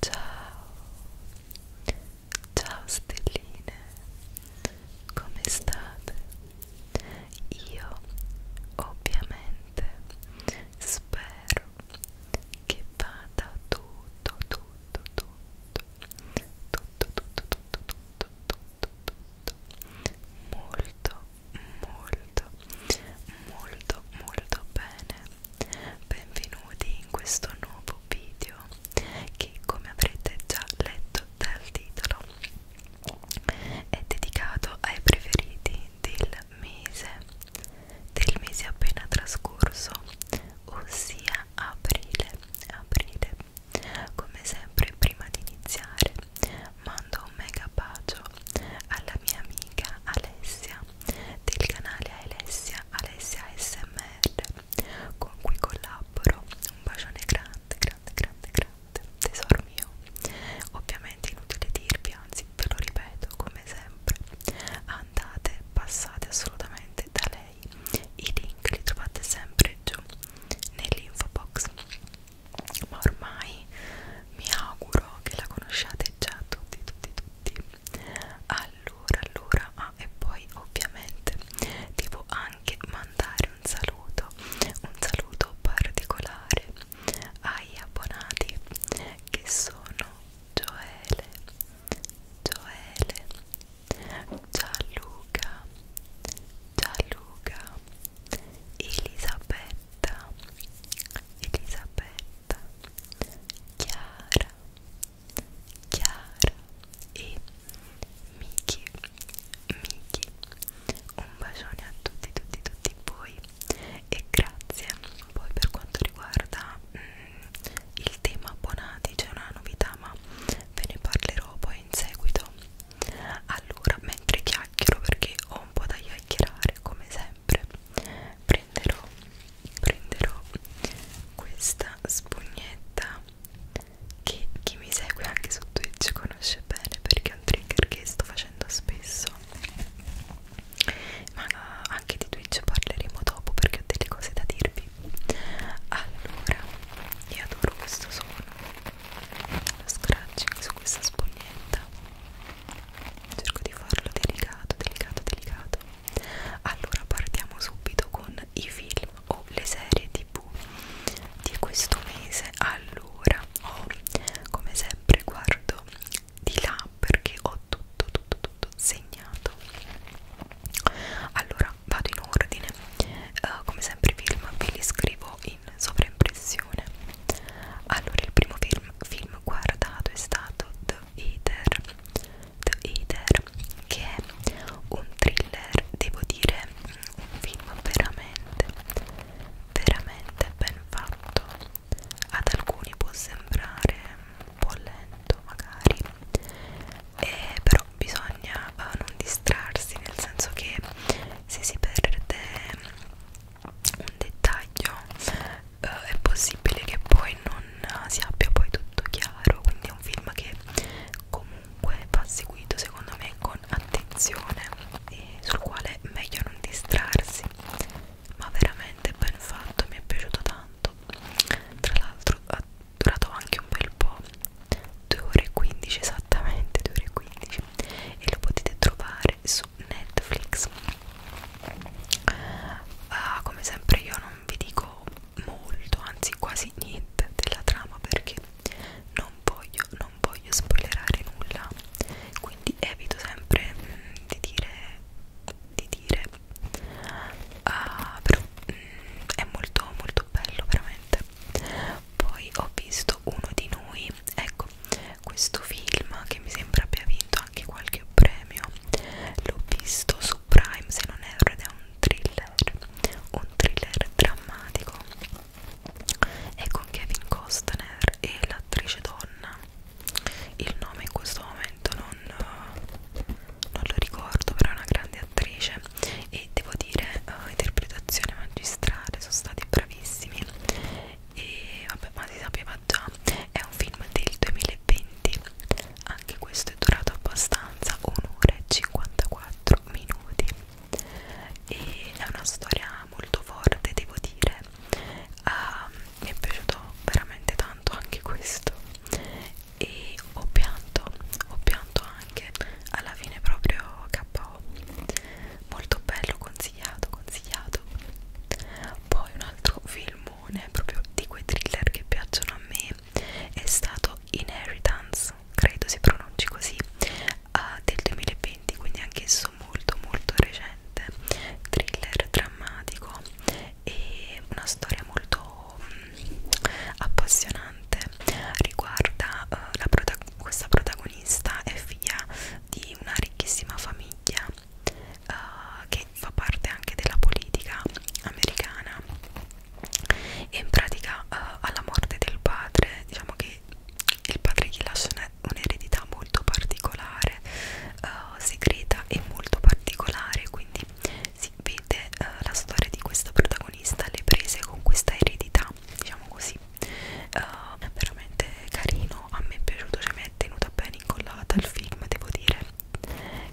Ciao, ciao stelline, come state? Io ovviamente spero che vada tutto, tutto, tutto tutto tutto tutto tutto tutto tutto tutto molto molto molto molto bene benvenuti in questo nuovo video che come avrete già letto dal titolo è dedicato ai preferiti del mese del mese appena trascorso ossia aprile aprile come sempre prima di iniziare mando un mega bacio alla mia amica Alessia del canale Alessia Alessia SMR con cui collaboro un bacione grande grande grande grande tesoro mio ovviamente inutile dirvi anzi ve lo ripeto come sempre andate passate assolutamente da lei. I link li trovate sempre giù nell'info box. Ma ormai mi auguro che la conosciate già tutti, tutti, tutti. Allora, allora, ah, e poi ovviamente devo anche mandare un saluto, un saluto particolare ai abbonati che sono Gioele, Gioele, Gianluca, Gianluca, Elisabetta, Elisabetta, Chiara, Chiara e Miki, Miki. Un bacione a tutti, tutti, tutti voi e grazie. Poi per quanto riguarda mm, il tema abbonati c'è una novità ma ve ne parlerò poi in seguito allora mentre chiacchiero perché ho un po' da chiacchierare come sempre prenderò prenderò questa spugnetta che chi mi segue anche su Twitch conosce bene perché è un trigger che sto facendo spesso ma eh, anche di Twitch parleremo dopo perché ho delle cose da dirvi allora io adoro questo suono lo scratching su questa spugnetta cerco di farlo delicato delicato delicato allora partiamo subito con i film o le serie tv di questo mese allora oh, come sempre guardo di là perché ho ho tutto tutto tutto segnato allora vado in ordine uh, come sempre i film ve li scrivo in sovraimpressione allora il primo film, film guardato è stato The Eater The Eater che è un thriller devo dire mm, un film veramente veramente ben fatto ad alcuni può sembrare un po' lento magari e eh, però bisogna eh, non distrarsi nel senso che se si perde mm, un dettaglio eh, è possibile che poi non eh, si abbia poi tutto chiaro quindi è un film che comunque va seguito secondo me con attenzione e sul quale è meglio non distrarsi ma veramente ben fatto mi è piaciuto tanto tra l'altro durato anche un bel po', 2 ore e 15 esattamente, 2 ore e 15 e lo potete trovare su Netflix. Uh, come sempre io non vi dico molto, anzi quasi niente della trama perché non voglio, non voglio spoilerare nulla, quindi evito sempre mh, mm, di dire di dire uh, però mh, mm, è molto molto bello veramente poi ho visto uno di noi ecco questo film che mi sembra abbia vinto anche qualche premio l'ho visto su Prime se non erro ed è un thriller un thriller drammatico è con Kevin Costner e l'attrice donna il nome in questo momento non non lo ricordo però è una grande attrice e devo dire uh, interpretazione magistrale sono stati bravissimi e vabbè ma si sapeva già è un film del 2020 anche questo è durato abbastanza un'ora e 54 minuti e è una storia molto forte devo dire uh, mi è piaciuto veramente tanto anche questo e ho pianto, ho pianto anche alla fine proprio KO molto bello, consigliato, consigliato poi un altro filmone proprio di quei thriller che piacciono a me è stato Inheritance credo si pronunci così uh, del 2020 quindi anche esso molto molto recente thriller drammatico e una storia molto mh, mm, appassionante riguarda uh, la prota questa protagonista è figlia di una ricchissima famiglia uh, che fa parte anche della politica americana e in pratica uh, alla morte del padre diciamo che il padre gli lascia un'eredità molto particolare uh, segreta e molto particolare quindi si vede eh, la storia di questa protagonista le prese con questa eredità diciamo così eh, veramente carino a me è piaciuto cioè mi è tenuta bene incollata al film devo dire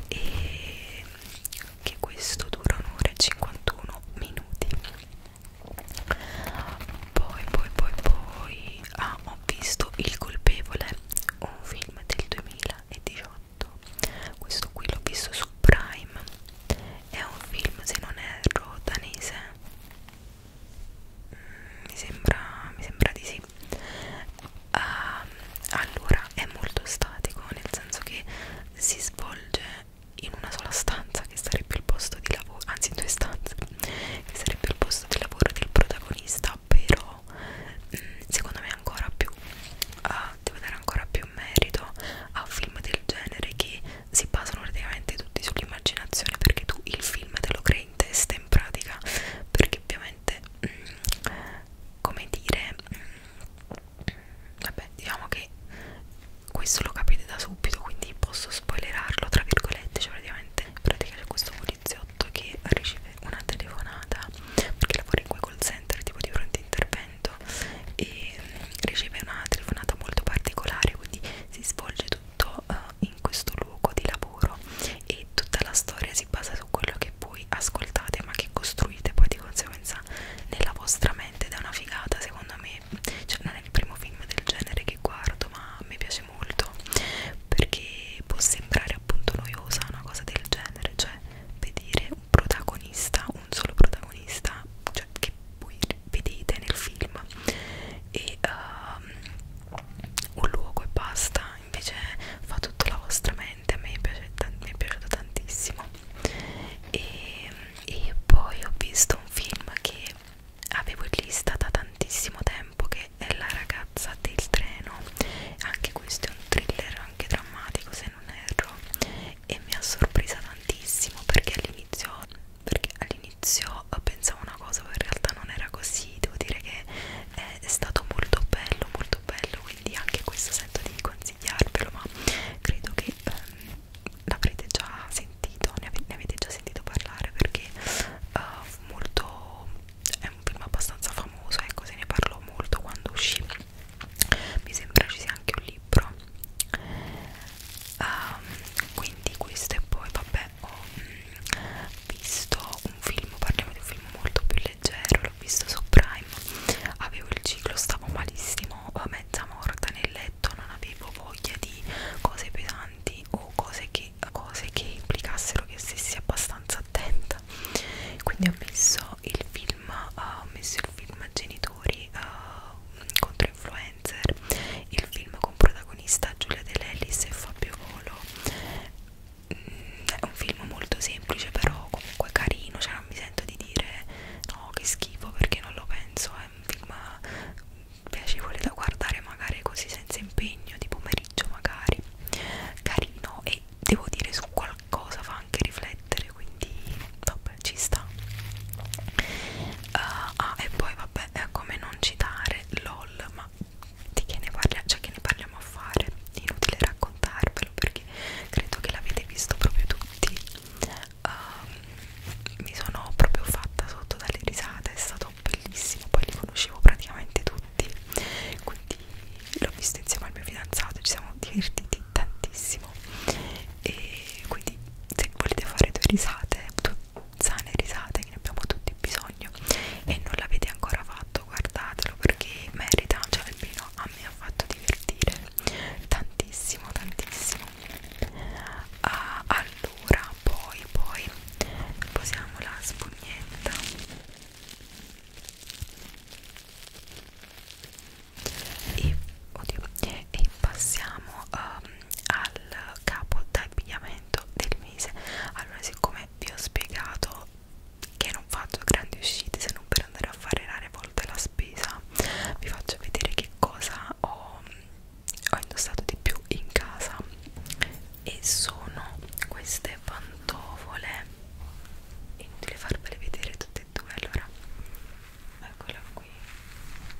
e che questo dura un'ora e 51 minuti poi poi poi poi ah, ho visto Il colpevole un film del 2018 fatto questo qui l'ho visto su Prime è un film se non erro danese mm, mi sembra mi sembra di sì uh, allora è molto statico nel senso che si svolge in una sola stanza che sarebbe il posto di lavoro anzi in due stanze che sarebbe il posto di lavoro del protagonista però però mm, secondo me ancora più uh, ah, devo dare ancora più merito a film del genere che si basano praticamente tutti sull'immaginazione perché tu il film te lo crei in testa in pratica perché ovviamente mh, mm, come dire mh, mm, vabbè diciamo che questo lo capite da subito quindi posso spoilerarlo tra virgolette cioè praticamente in pratica c'è questo polizia fatto che riceve una telefonata perché lavora in quel call center tipo di pronto intervento e mm, riceve una telefonata molto particolare quindi si svolge tutto uh, in questo luogo di lavoro e tutta la storia si basa su quello che voi ascoltate ma che costruite poi di conseguenza nella vostra mente ed è una figata secondo me cioè non è il primo film del genere che guardo ma mi piace molto perché può sembrare appunto noiosa una cosa del genere cioè vedere un protagonista, un solo protagonista, cioè che voi vedete nel film e uh, un luogo e basta, invece fa tutta la vostra mente, a me piace, mi è piaciuto tantissimo e, e poi ho visto un film che avevo in lista da tantissimo tempo che è La ragazza del treno anche questo è un thriller anche drammatico se non erro e mi ha sorpresa tantissimo perché all'inizio all pensavo una cosa ma in realtà non era così devo dire che è stato molto bello molto bello quindi anche questo sento di consigliarvelo ma credo che ehm, l'avrete già sentito ne, ave ne avete già sentito parlare perché eh, molto è un film abbastanza famoso ecco se ne parlò molto quando uscì mi sembra ci sia anche un libro um, quindi questo e poi vabbè ho mm, visto un film parliamo di un film molto più leggero l'ho visto su Prime avevo il ciclo stavo malissimo mezza morta nel letto non avevo voglia di cose pesanti o cose che, cose che implicassero che stessi abbastanza attenta quindi ho messo il film eh, ho messo il film genitori uh, contro influencer il film con protagonista Giulia De Lellis e Fabio Volo mm, è un film molto semplice però comunque carino cioè non mi sento di dire no che schifo perché non lo penso è un film piacevole da guardare magari così senza impegno di pomeriggio magari carino e devo dire su qualcosa fa anche riflettere quindi vabbè ci sta uh, ah e poi vabbè è come non citare lol ma di che ne parliamo cioè che ne parliamo a fare inutile raccontarvelo perché credo che l'avete visto proprio tutti uh, mi sono proprio fatta sotto dalle risate è stato bellissimo poi li conoscevo praticamente tutti tutti quindi l'ho vista insieme al mio fidanzato ci siamo divertiti tantissimo e quindi se volete fare due risate sane risate che ne abbiamo tutti bisogno e non l'avete ancora fatto guardatelo perché merita cioè almeno a me ha fatto divertire tantissimo tantissimo ah, allora poi poi posiamo la spugnetta e, oddio, e passiamo um, al capo d'abbigliamento del mese allora siccome vi ho spiegato che non faccio grandi uscite se non per andare a fare rare volte la spesa vi faccio vedere che cosa ho, ho indossato di più in casa e sono queste pantofole due inutile farvele vedere tutte e due allora eccola qui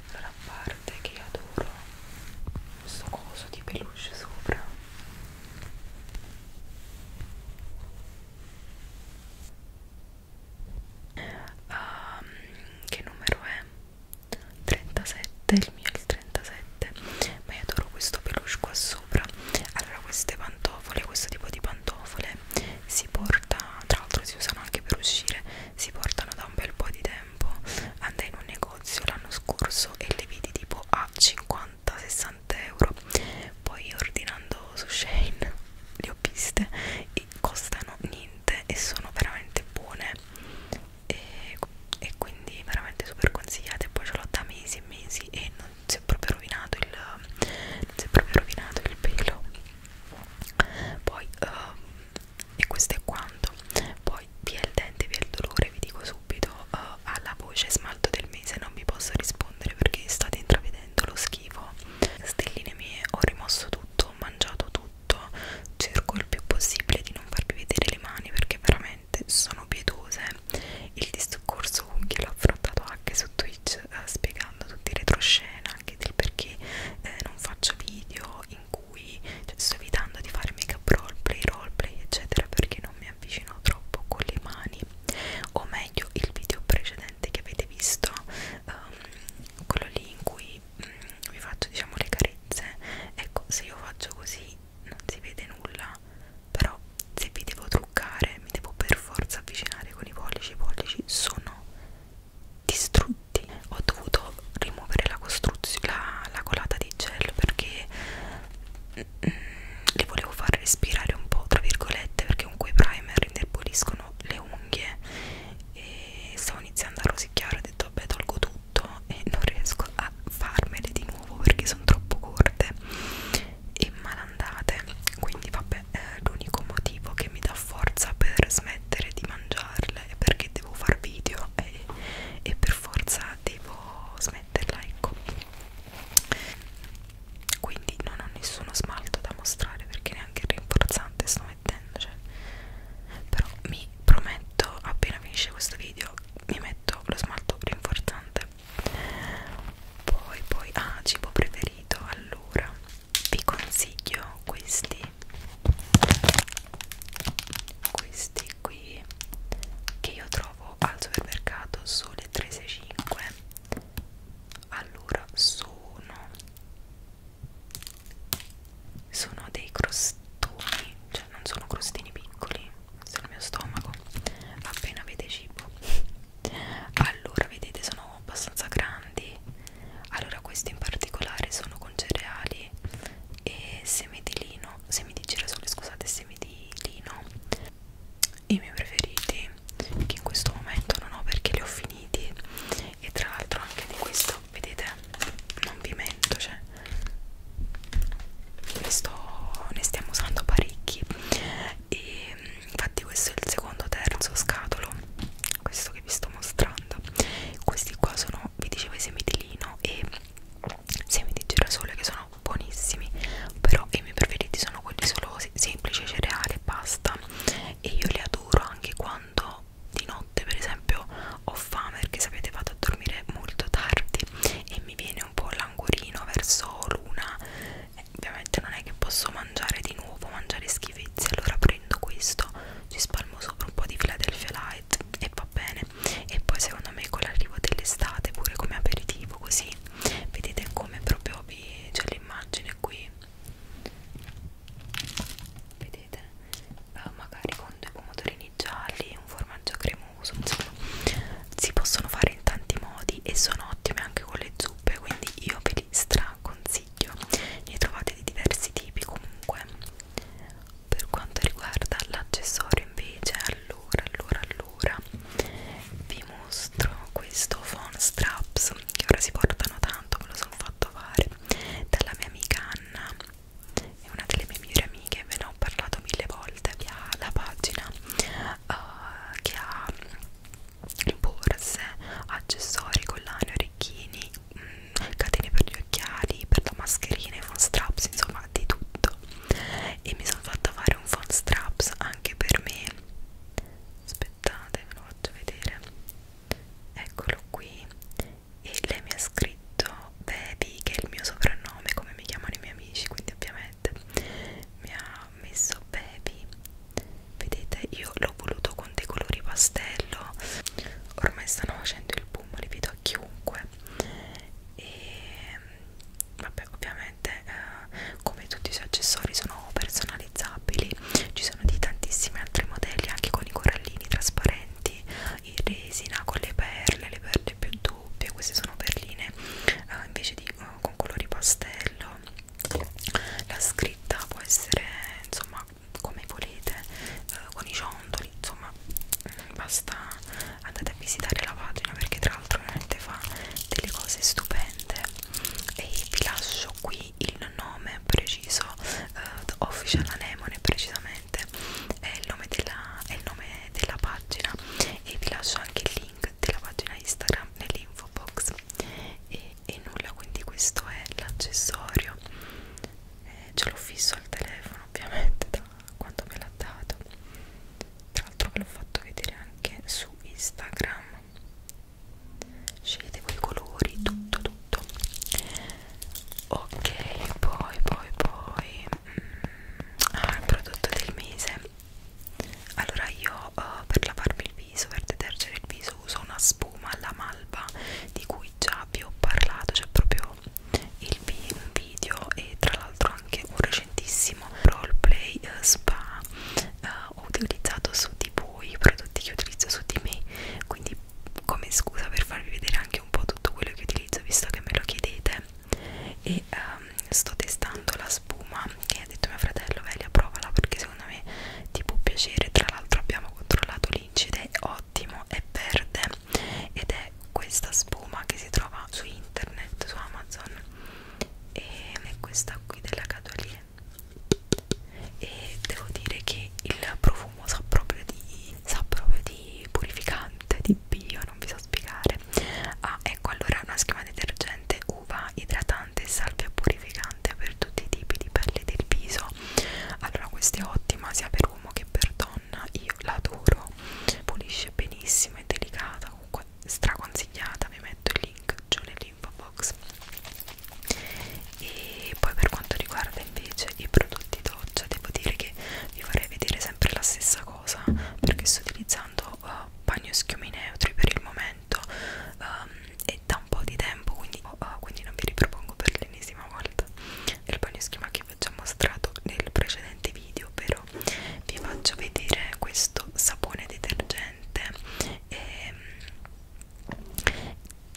allora a parte che io adoro questo coso di peluche sopra um, che numero è? 37 il mio è il 37 ma io adoro questo peluche qua sopra sopra allora queste pantofole questo tipo di pantofole si porta tra l'altro si usano anche per uscire si portano da un bel po' di tempo andai in un negozio l'anno scorso e le vidi tipo a 50-60 euro poi ordinando su Shane le ho viste e costano niente e sono veramente buone e, e quindi veramente super consigliate poi ce l'ho da mesi e mesi e non si è proprio rovinato il, non si è proprio rovinato il pelo poi uh, e questo è quanto poi via il dente via il dolore vi dico subito uh, alla voce smalto del mese non vi posso rispondere perché state intravedendo lo schifo stelline mie ho rimosso tutto ho mangiato tutto cerco il più possibile di non farvi vedere le mani perché veramente veramente sono pietose. Il discorso con chi l'ho affrontato anche su Twitch eh, spiegando tutti i retroscena, anche del perché eh, non faccio video in cui cioè, sto evitando di fare make up roleplay, roleplay eccetera perché non mi avvicino troppo con le mani o meglio il video precedente che avete visto um, quello lì in cui um, vi faccio diciamo le carezze ecco se io faccio così non si vede nulla però se vi devo truccare mi devo per forza avvicinare con i pollici i pollici sono distrutti ho dovuto rimuovere la costruzione la, la colata di gel perché mm, li volevo far respirare un po' tra virgolette perché con quei primer indeboliscono le unghie e stavo iniziando a rosicchiare ho detto vabbè tolgo tutto e non riesco a a farmele di nuovo perché sono troppo corte e malandate quindi vabbè l'unico motivo che mi dà forza per smettere di mangiarle è perché devo far video e, e per forza devo smetterla ecco quindi non ho nessuno smalto da mostrare perché neanche il rinforzante sto mettendo cioè. però mi prometto appena finisce questo video mi metto lo smalto rinforzante poi poi ah cibo preferito allora vi consiglio questi questi qui che io trovo al supermercato sole 365 allora sono sono dei crostoni cioè non sono crostini piccoli sul mio stomaco appena avete cibo allora vedete sono abbastanza grandi allora questi in particolare sono con cereali e semi di lino semi di girasole scusate semi di lino i miei preferiti che in questo momento non ho perché li ho finiti e tra l'altro anche di questo vedete non vi mento cioè questo ne stiamo usando parecchi e infatti questo è il secondo terzo scatolo questo che vi sto mostrando questi qua sono vi dicevo i semi di lino e semi di girasole che sono buonissimi però i miei preferiti sono quelli solo semplici cereali e pasta e io li adoro anche quando di notte per esempio ho fame perché sapete vado a dormire molto tardi e mi viene un po' languorino verso l'una eh, ovviamente non è che posso mangiare di nuovo mangiare schifezze allora prendo questo ci spalmo sopra un po' di Philadelphia Light e va bene e poi secondo me con l'arrivo dell'estate pure come aperitivo così vedete come proprio vi c'è l'immagine qui vedete eh, magari con due pomodorini gialli un formaggio cremoso non uso insomma si possono fare in tanti modi e sono ottime anche con le zuppe quindi io ve li straconsiglio ne trovate di diversi tipi comunque per quanto riguarda l'accessorio invece allora allora allora vi mostro questo phone straps che ora si portano tanto me lo sono fatto fare dalla mia amica Anna è una delle mie migliori amiche ve ne ho parlato mille volte via la pagina uh, che ha mm, borse, accessori, collane, orecchini, mh, mm, catene per gli occhiali, per la mascherina, i phone straps, insomma di tutto e mi sono fatta fare un phone straps anche per me aspettate ve lo faccio vedere eccolo qui e lei mi ha scritto Baby che è il mio soprannome come mi chiamano i miei amici quindi ovviamente Red mi ha messo Baby vedete io l'ho voluto con dei colori pastello ormai stanno facendo il boom li vedo a chiunque e vabbè ovviamente eh, come tutti i suoi accessori sono personalizzabili ci sono di tantissimi altri modelli anche con i corallini trasparenti in resina con le perle le perle più dure doppie queste sono perline uh, invece di uh, con colori pastello la scritta può essere insomma come volete uh, con i ciondoli insomma mm, basta andate a visitare la pagina perché tra l'altro veramente fa delle cose stupende e vi lascio qui il nome preciso uh, official anemone precisamente è il nome della, è il nome della pagina e vi lascio anche il link della pagina Instagram nell'info box e, e nulla quindi questo è l'accessorio eh, ce l'ho fisso al telefono ovviamente da quando me l'ha dato tra l'altro ve l'ho fatto vedere anche su Instagram scegliete voi i colori tutto tutto ok poi poi poi mm, ah il prodotto del mese allora io uh, per lavarmi il viso per detergere il viso uso una spuma alla malva di cui già vi ho parlato c'è proprio il vi un video e tra l'altro anche un recentissimo roleplay uh, spa uh, eh, ho utilizzato su di voi i prodotti che utilizzo su di me quindi come scusa per farvi vedere anche un po' tutto quello che utilizzo visto che me lo chiedete e um, sto testando la spuma che ha detto mio fratello Velia provala perché secondo me ti può piacere tra l'altro abbiamo controllato l'incide è ottimo, è verde ed è questa spuma che si trova su internet, su Amazon e è questa qui della Cadolie e devo dire che il profumo sa proprio di, sa proprio di purificante, di bio, non vi so spiegare ah, è Ecco allora una schiuma detergente, uva, idratante, salvia purificante per tutti i tipi di pelle del viso. Allora questa è ottima sia per uomo che per donna, io l'adoro, pulisce benissimo, è delicata, comunque straconsigliata, vi metto il link giù nell'info box. E poi per quanto riguarda invece i prodotti doccia, devo dire che vi vorrei vedere sempre la stessa cosa perché sto utilizzando uh, bagno schiumi neutri per il momento um, e da un po' di tempo quindi, uh, quindi non vi ripropongo per l'ennesima volta il bagno schiuma che vi ho già mostrato nel precedente video però vi faccio vedere questo sapone detergente e, ehm,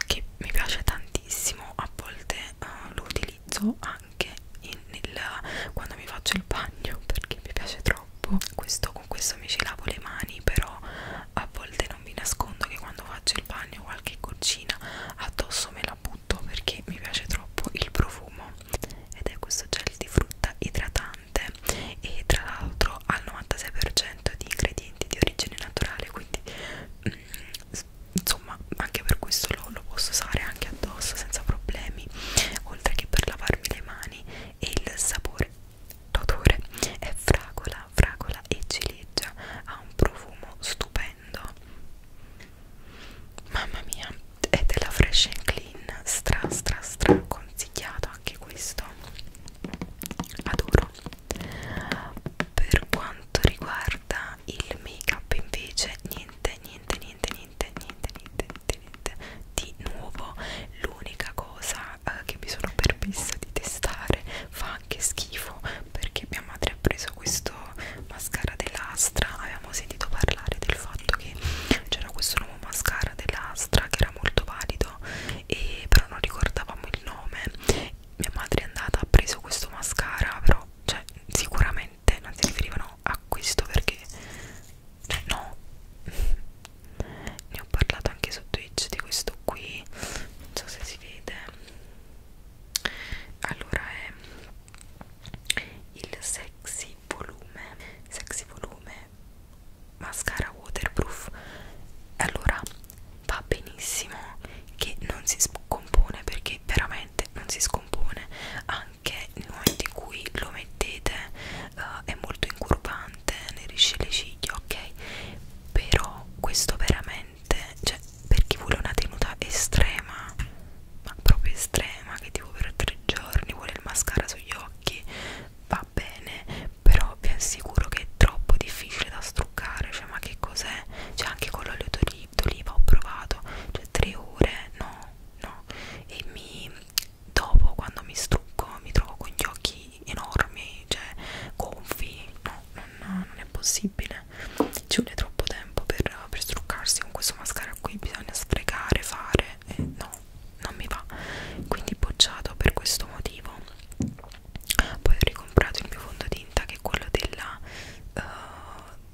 che mi piace tantissimo a volte uh, lo utilizzo utilizzo anche in, nel, quando mi faccio il bagno perché mi piace troppo questo, con questo mi ci lavo le mani però a volte non vi nascondo che quando faccio il bagno qualche goccina addosso me la butto perché mi piace troppo il profumo ed è questo gel di frutta idratante e tra l'altro al 96% di ingredienti di origine naturale quindi mm, insomma anche per questo lo, lo posso usare anche addosso senza problemi oltre che per lavarmi le mani e il sapore l'odore è fragola fragola e ciliegia ha un profumo stupendo mamma mia è della fresh and clean stra stra stra consigliato anche questo adoro per quanto riguarda il make up invece niente niente niente niente niente, niente, niente, niente, niente di nuovo. L'unica cosa eh, che mi sono permessa di testare fa anche schifo perché mia madre ha preso questo mascara dell'Astra. Avevamo sentito parlare del fatto che c'era questo nuovo mascara dell'Astra che era molto valido, e però non ricordavamo il nome. Mia madre è andata, ha preso questo mascara, però cioè, sicuramente niente, non si riferivano a questo perché cioè no ne ho parlato anche su Twitch di questo qui non so se si vede allora è il sexy volume sexy volume mascara waterproof allora va benissimo che non si scompone perché veramente non si scompone anche che nel momento in cui lo mettete uh, è molto incurvante, ne risce le ciglia, ok? Però questo veramente, cioè per chi vuole una tenuta estrema, ma proprio estrema, che tipo per tre giorni vuole il mascara sugli occhi, va bene, però vi assicuro che è troppo difficile da struccare, cioè ma che cos'è? Cioè anche con l'olio d'oliva, d'oliva ho provato, cioè tre ore, no, no, e mi, dopo quando mi strucco mi trovo con gli occhi enormi, cioè gonfi, no, non, non è possibile, ci vuole troppo tempo per, per struccarsi con questo mascara qui, bisogna sfregare, fare, e no, non mi va, quindi bocciato per questo motivo, poi ho ricomprato il mio fondotinta che è quello della... Uh,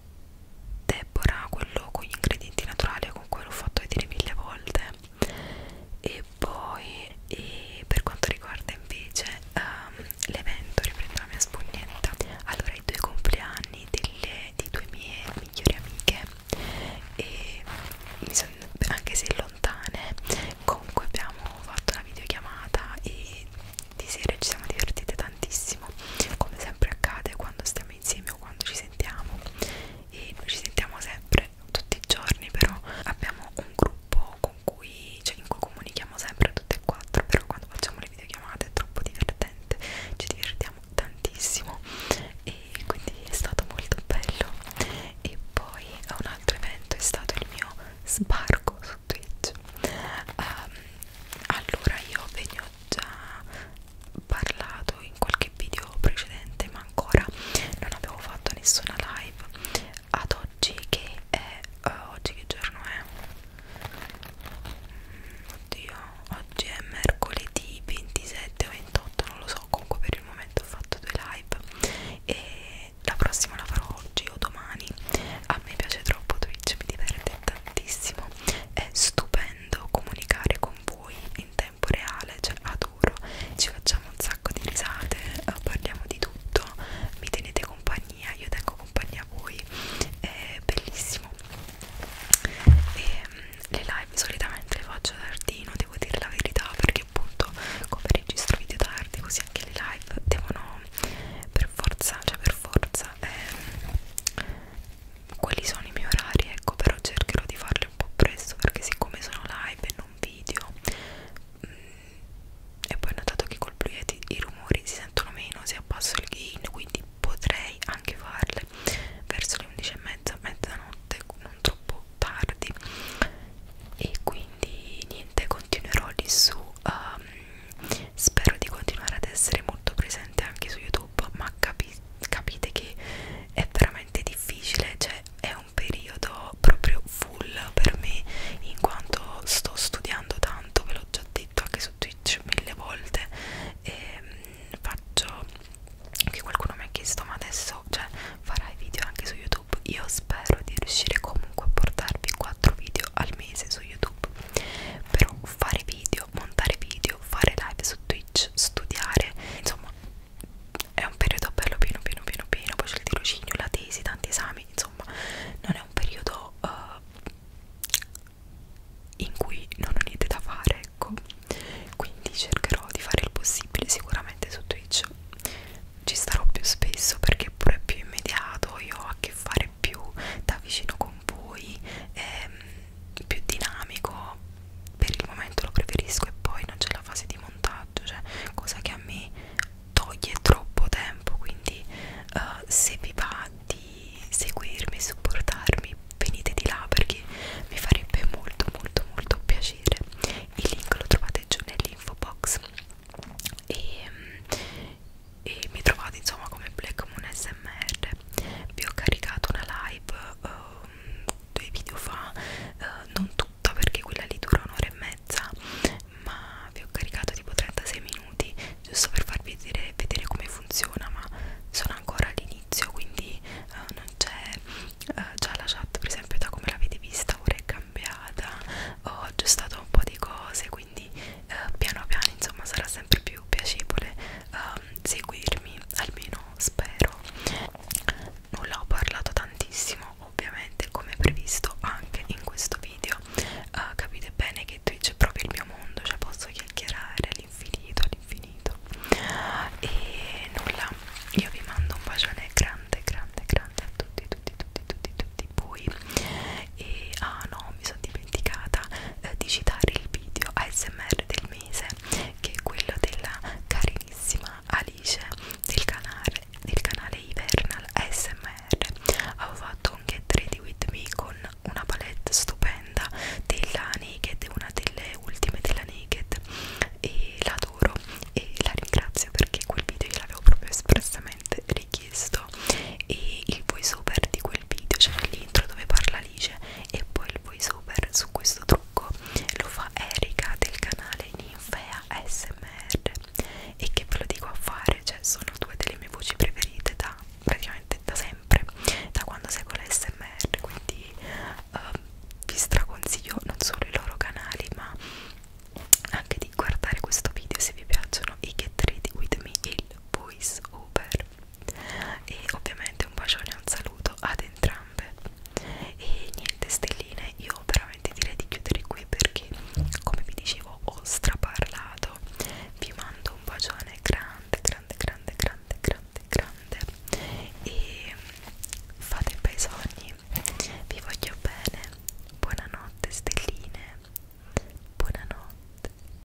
Deborah, quello con gli ingredienti naturali con cui l'ho fatto vedere mille volte e poi e per quanto riguarda invece um, l'evento riprendo la mia spugnetta allora i due compleanni delle, di due mie migliori amiche e mi sono, anche se lontane comunque abbiamo fatto una videochiamata e di sera ci siamo divertite tantissimo come sempre accade quando stiamo insieme o quando ci sentiamo e noi ci sentiamo sempre tutti i giorni però abbiamo un gruppo con cui cioè in cui comunichiamo sempre tutte e quattro però quando facciamo le videochiamate è troppo divertente ci divertiamo tantissimo e quindi è stato molto bello e poi un altro evento è stato il mio sbarco su Twitch um, allora io venivo già parlato in qualche video precedente ma ancora non avevo fatto nessuna live ad oggi che è uh, oggi che giorno è mm, oddio oggi è mercoledì 27 o 28 non lo so comunque per il momento ho fatto due live e la prossima la farò oggi o domani a me piace troppo Twitch mi diverte tantissimo è stupendo volendo comunicare con voi in tempo reale, cioè adoro, ci facciamo un sacco di risate, eh, parliamo di tutto, mi tenete compagnia, io tengo compagnia a voi, è bellissimo. E ehm, le live solitamente le faccio tardino, devo dire la verità, perché appunto come registro video tardi, così anche le live devono per forza, cioè per forza, eh, quelli sono i miei orari ecco però cercherò di farli un po' presto perché siccome sono live e non video mh, mm, e poi ho notato che col blu yeti i rumori si sentono meno se abbasso il gain quindi potrei anche farle verso le 11 e mezza mezzanotte non troppo tardi e quindi niente continuerò lì su um, spero di continuare ad essere molto presente anche su youtube youtube ma capi capite che è veramente difficile cioè è un periodo proprio full per me in quanto sto studiando tanto ve l'ho già detto anche su twitch mille volte e ehm, faccio che qualcuno mi ha chiesto ma adesso cioè farai video anche su youtube io spero di riuscire comunque a portarvi 4 video al mese su youtube YouTube però fare video, montare video, fare live su Twitch, studiare insomma è un periodo bello pieno pieno pieno pieno poi c'è il tirocinio, la tesi, tanti esami insomma non è un periodo uh, in cui non ho niente da fare ecco quindi cercherò di fare il possibile sicuramente su Twitch ci starò più spesso perché pure è più immediato io ho a che fare più da vicino con con voi ehm, più dinamico per il momento lo preferisco e poi non c'è la fase di montaggio cioè cosa che a me toglie troppo tempo quindi uh, se vi va di seguirmi supportarmi venite di là perché mi farebbe molto molto molto piacere il link lo trovate giù nell'info box e, ehm, e mi trovate insomma come Black Moon SMR vi ho caricato una live um, due video fa uh, non tutta perché quella lì dura un'ora e mezza ma vi ho caricato tipo 36 minuti giusto per farvi vedere, vedere come funziona ma sono ancora all'inizio quindi uh, non c'è uh, già la chat per esempio da come l'avete vista ora è cambiata ho aggiustato un po' di cose quindi eh, piano piano insomma sarà sempre più piacevole eh, seguirmi almeno spero nulla ho parlato tantissimo ovviamente come previsto anche in questo video eh, capite bene che Twitch è proprio il mio mondo cioè posso chiacchierare all'infinito all'infinito e nulla io vi mando un bacione grande grande grande a tutti tutti tutti tutti tutti voi e ah no mi sono dimenticata eh, di citare il video ASMR del mese che è quello della carinissima Alice del canale, del canale Hivernal ASMR avevo fatto un get ready with me con una palette stupenda della Naked una delle ultime della Naked e l'adoro e la ringrazio perché quel video gliel'avevo proprio espressamente richiesto e il voice over di quel video, cioè l'intro dove parla Alice e poi il voice over su questo trucco lo fa Erika del canale Ninfea SMR e che ve lo dico a fare, cioè sono due delle mie voci preferite da praticamente da sempre, da quando seguo la SMR, quindi uh, vi straconsiglio non solo i loro canali ma anche di guardare questo video se vi piacciono i Get Ready With Me e il voice over e ovviamente un bacione e un saluto ad entrambe e niente stelline io veramente direi di chiudere qui perché come vi dicevo ho straparlato vi mando un bacione grande grande grande grande grande grande e fate bei sogni vi voglio bene buonanotte stelline buonanotte